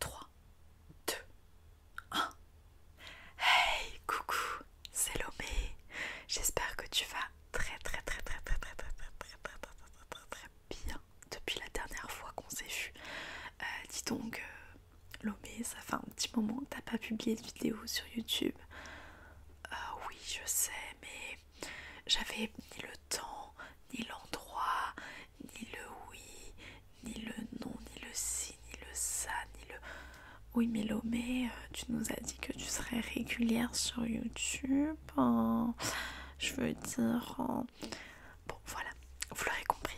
3, 2, 1. Hey, coucou, c'est Lomé. J'espère que tu vas très très très très très très très très très très très très très bien depuis la dernière fois qu'on s'est vu. Dis donc, Lomé, ça fait un petit moment que t'as pas publié de vidéo sur YouTube. Oui, je sais, mais j'avais ni le temps, ni l'endroit, ni le oui, ni le non, ni le si, ni le ça, ni le... Oui mais euh, tu nous as dit que tu serais régulière sur YouTube. Hein. Je veux dire... Hein. Bon voilà, vous l'aurez compris.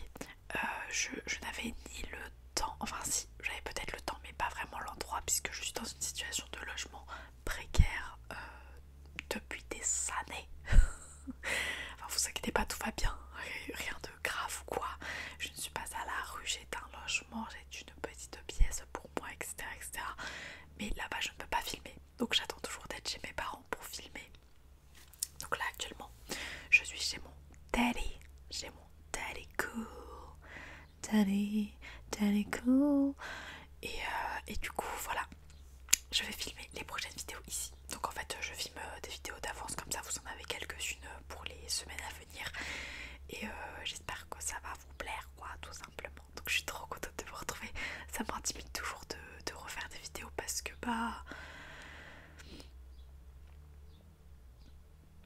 Euh, je, n'avais ni le temps, enfin si, j'avais peut-être le temps mais pas vraiment l'endroit puisque je suis dans une situation de logement précaire. Euh, depuis des années. enfin, vous inquiétez pas, tout va bien, rien de grave ou quoi. Je ne suis pas à la rue, j'ai un logement, j'ai une petite pièce pour moi, etc. etc. Mais là-bas, je ne peux pas filmer. Donc, j'attends toujours d'être chez mes parents pour filmer. Donc, là, actuellement, je suis chez mon daddy, j'ai mon daddy cool. Daddy, daddy cool. et euh, du coup, voilà, je vais filmer les prochaines vidéos ici. Donc en fait je filme euh, des vidéos d'avance comme ça, vous en avez quelques-unes euh, pour les semaines à venir. Et euh, j'espère que ça va vous plaire quoi tout simplement. Donc je suis trop contente de vous retrouver. Ça m'intimide toujours de, refaire des vidéos parce que bah...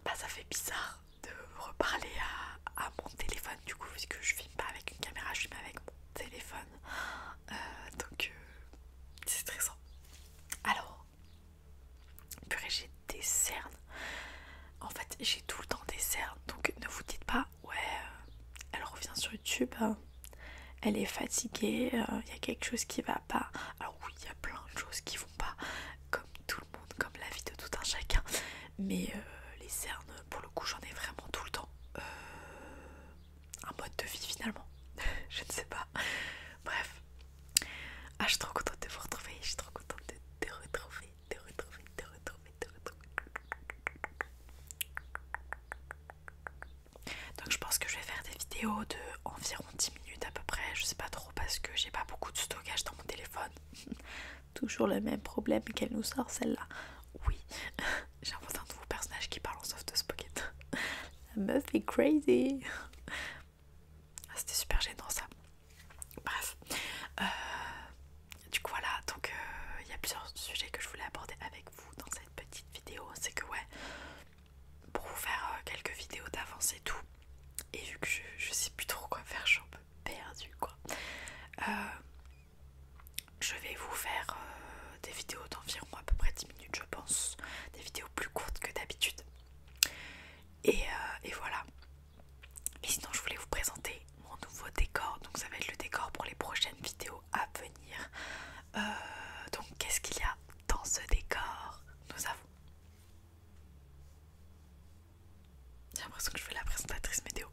Bah ça fait bizarre de reparler à, mon téléphone du coup que je filme pas avec une caméra, je filme avec mon téléphone. Euh, donc euh, c'est stressant. Alors, puis j'ai des cernes. En fait, j'ai tout le temps des cernes. Donc ne vous dites pas, ouais, euh, elle revient sur YouTube, hein. elle est fatiguée, il y a quelque chose qui va pas. Alors oui, il y a plein de choses qui vont pas, comme tout le monde, comme la vie de tout un chacun. Mais les cernes, pour le coup, j'en ai vraiment tout le temps un mode de vie finalement. je ne sais pas. Bref. Ah, je suis trop contente de vous retrouver. Je suis trop contente de te retrouver, de retrouver, de retrouver, de retrouver. Donc je pense que je vais faire des vidéos de environ 10 minutes à peu près. Je sais pas trop parce que j'ai pas beaucoup de stockage dans mon téléphone. Toujours le même problème qu'elle nous sort celle-là. Oui. J'ai inventé un nouveau personnage qui parle en de spocket. La meuf est crazy. Ah, c'était super gênant ça. Bref. Euh, du coup voilà, donc euh, il y a plusieurs sujets que je voulais aborder avec vous dans cette petite vidéo. C'est que ouais, pour vous faire euh, quelques vidéos d'avance et tout. Et vu que je, je sais plus trop quoi faire, je suis un peu perdue quoi je vais vous faire euh, des vidéos d'environ à peu près 10 minutes je pense, des vidéos plus courtes que d'habitude. Et, euh, voilà. Et sinon je voulais vous présenter mon nouveau décor, donc ça va être le décor pour les prochaines vidéos à venir. Euh, donc qu'est-ce qu'il y a dans ce décor Nous avons... J'ai l'impression que je fais la présentatrice météo.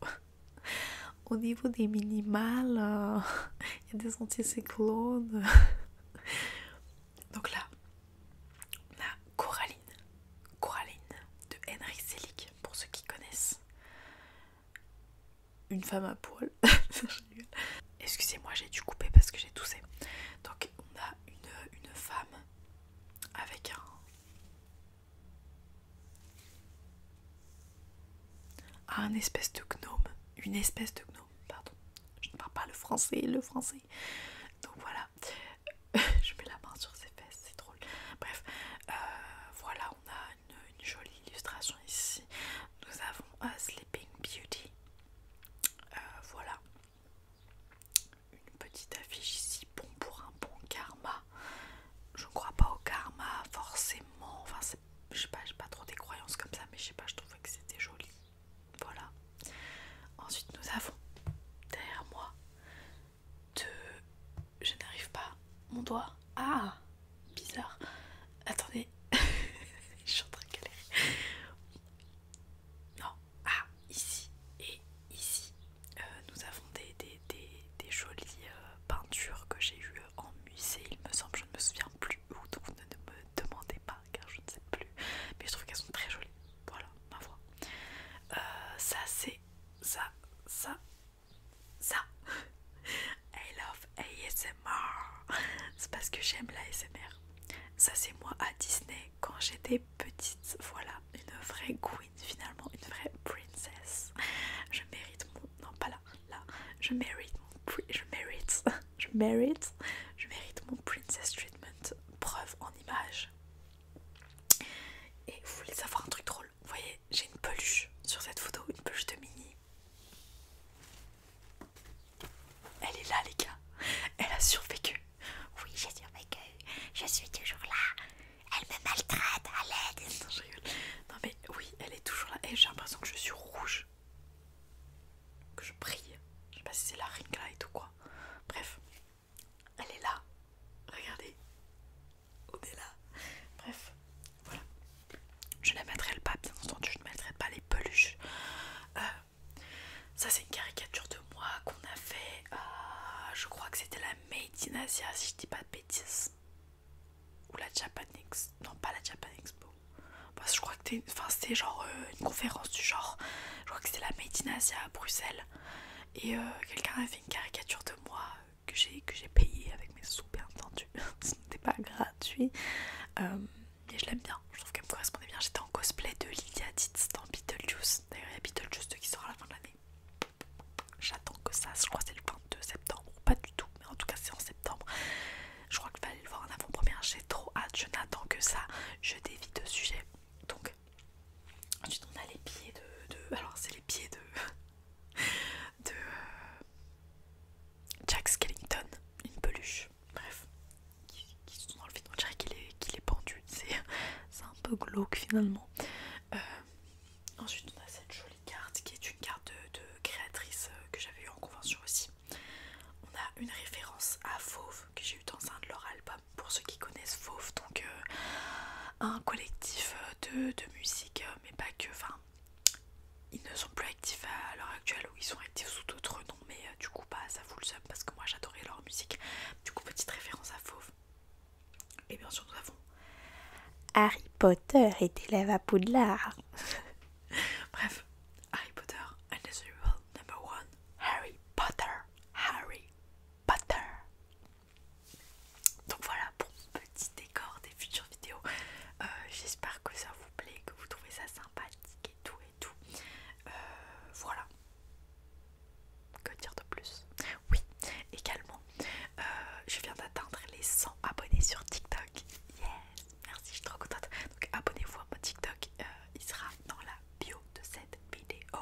Au niveau des minimales, euh, il y a des anticyclones. Donc là, on a Coraline. Coraline de Henry Selick, pour ceux qui connaissent. Une femme à poil. Excusez-moi, j'ai dû couper parce que j'ai toussé. Donc on a une femme avec un, à ah, un espèce de gnome. Une espèce de gnome, pardon. Je ne parle pas le français, le français. Donc voilà. Je mets la main sur ses fesses, c'est drôle. Bref, euh, voilà, on a une, jolie illustration ici. Nous avons un Sleeping Beauty. Euh, voilà. Une petite affiche ici bon pour un bon karma. Je crois pas au karma forcément. Enfin, je sais pas, j'ai pas trop des croyances comme ça, mais je sais pas, je trouvais que c'était joli. Voilà. Ensuite, nous avons derrière moi deux... Je n'arrive pas. Mon doigt. Ah Bizarre. Attendez. je suis en train de galérer. Non. Ah, ici et ici. Euh, nous avons des, des, jolies euh, peintures que j'ai eues euh, en musée, il me semble, je ne me souviens plus où, donc ne, me demandez pas car je ne sais plus, mais je trouve qu'elles sont très jolies, voilà, ma voix. ça c'est, ça, ça, ça, I love ASMR, c'est parce que j'aime l'ASMR. Ça c'est moi à Disney quand j'étais petite, voilà, une vraie queen finalement, une vraie princesse. Je mérite mon... Non pas là, là. Je mérite mon... Je mérite. Je mérite. Je mérite mon princess treatment. Preuve en image. Et vous voulez savoir un truc drôle Vous voyez, j'ai une peluche sur cette photo, une peluche de mini. Elle est là les gars. Elle a survécu. Oui, j'ai survécu. Je suis toujours là. Elle me maltraite, à l'aide. Non, Non, mais oui, elle est toujours là. Et j'ai l'impression que je suis rouge. Que je brille. Je sais pas si c'est la ring light ou quoi. Bref, elle est là. Regardez. On est là. Bref, voilà. Je ne maltraite pas, bien entendu. Je ne maltraite pas les peluches. Euh, ça, c'est une caricature de moi qu'on a fait. Euh, je crois que c'était la Made in Asia, si je dis pas de bêtises. Ou la Japan Expo. Non, pas la Japan Expo. Parce que je crois que c'était enfin, c'est genre euh, une conférence du genre. Je crois que c'est la Made in Asia à Bruxelles. Et euh, quelqu'un avait fait une caricature de moi que j'ai payé avec mes sous, bien entendu. Ce n'était pas gratuit. et euh, je l'aime bien, je trouve qu'elle me correspondait bien. J'étais en cosplay de Lydia Tits dans Beetlejuice. D'ailleurs, il y a Beetlejuice qui sort à la fin de l'année. J'attends que ça, je crois que c'est le 22 septembre, ou pas du tout, mais en tout cas c'est en septembre. Je crois qu'il fallait le voir en avant-première, j'ai trop hâte, je n'attends que ça, je dévie de sujet. Donc, ensuite on a les pieds de... alors c'est les pieds de... de... Jack Skellington, une peluche, bref, qui, sont dans le vide, on dirait qu'il est pendu c'est un peu glauque finalement. Euh, ensuite on a cette jolie carte qui est une carte de, créatrice euh, que j'avais eu en convention aussi. On a une référence à Fauve que j'ai eu dans un de leurs albums pour ceux qui connaissent Fauve, donc euh, un collectif de, musique, mais pas que, enfin ils ne sont plus actifs à l'heure actuelle ou ils sont actifs sous d'autres noms mais du coup pas ça vous le seum parce que moi j'adorais leur musique. Du coup petite référence à Fauve et bien sûr, nous avons Harry Potter et élève à Poudlard. Bref, Harry Potter Evil number one. Harry Potter, Harry Potter. Donc voilà pour mon petit décor des futures vidéos. Euh, j'espère que ça vous plaît, que vous trouvez ça sympathique et tout et tout. Euh, voilà. Que dire de plus Oui, également, euh, je viens d'atteindre les 100 abonnés sur TikTok. Yes, merci, je suis trop contente. Donc abonnez-vous à mon TikTok, euh, il sera dans la bio de cette vidéo.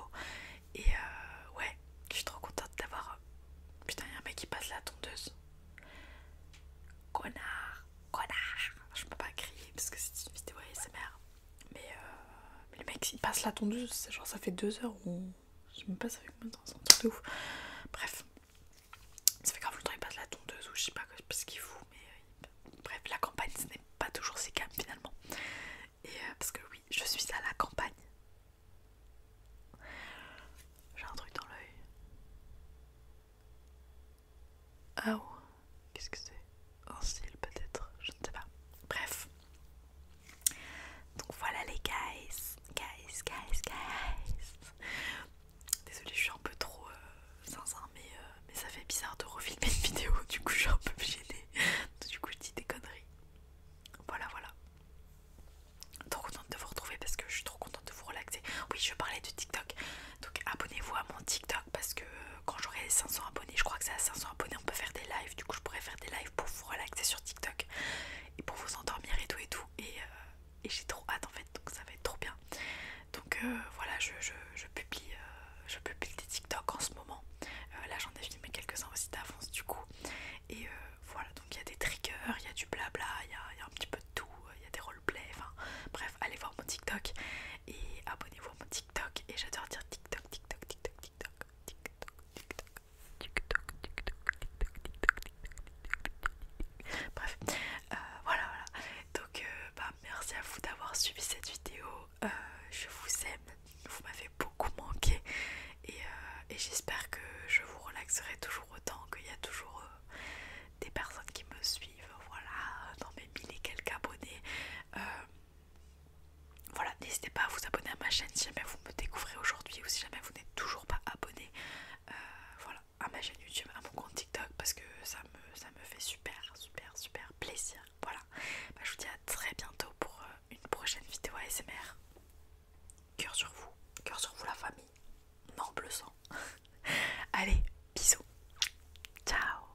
Et euh, ouais, je suis trop contente d'avoir... Putain, il y a un mec qui passe la tondeuse. Connard, connard. Je peux pas crier parce que c'est une vidéo ASMR. Mais, euh, mecs le mec, il passe la tondeuse, genre ça fait deux heures ou. Je sais même pas, ça fait combien de temps, c'est de ouf. Bref, ça fait grave temps qu'il passe la tondeuse ou je sais pas, parce ce qu'il fout, mais. Euh, bref, la campagne, ce n'est pas toujours si calme finalement. Et euh, parce que oui, je suis à la campagne. J'ai un truc dans l'œil. Ah oh, qu'est-ce que c'est un style peut-être, je ne sais pas. Bref. Donc voilà les guys, guys, guys, guys. Désolée, je suis un peu trop sans euh, sincère, mais, euh, mais ça fait bizarre de refilmer une vidéo, du coup je suis un peu gênée. Du coup je dis des conneries. Voilà, voilà. Trop contente de vous retrouver parce que je suis trop contente de vous relaxer. Oui, je parlais de TikTok. Donc abonnez-vous à mon TikTok parce que euh, quand j'aurai 500 abonnés, je crois que c'est à 500 abonnés, on peut faire des lives. Du coup, je pourrais faire des lives pour vous relaxer sur TikTok et pour vous endormir et tout et tout. Et, euh, j'ai trop hâte en fait, donc ça va être trop bien. Donc euh, voilà, je, publie, je publie des TikTok en ce moment. là, j'en ai filmé quelques-uns aussi d'avance du coup. Et voilà, donc il y a des triggers, il y a du blabla, il y, a un petit peu de tout, il y a des roleplays, enfin bref, allez voir mon TikTok et abonnez-vous à mon TikTok. Et j'adore dire TikTok, TikTok, Bref, voilà, voilà. Donc, bah, merci à vous d'avoir suivi cette vidéo. je vous aime, vous m'avez beaucoup manqué et, et j'espère que je vous relaxerai toujours autant qu'il y a toujours des personnes qui me suivent. Voilà, dans mes mille et quelques abonnés. Voilà, n'hésitez pas à vous abonner à ma chaîne si jamais vous me découvrez aujourd'hui ou si jamais vous n'êtes toujours pas abonné euh, voilà, à ma chaîne YouTube, à mon compte TikTok parce que ça me, fait super, super, super plaisir. Voilà, bah, je vous dis à très bientôt pour euh, une prochaine vidéo ASMR. Cœur sur vous, cœur sur vous la famille, non bleu Allez, bisous, ciao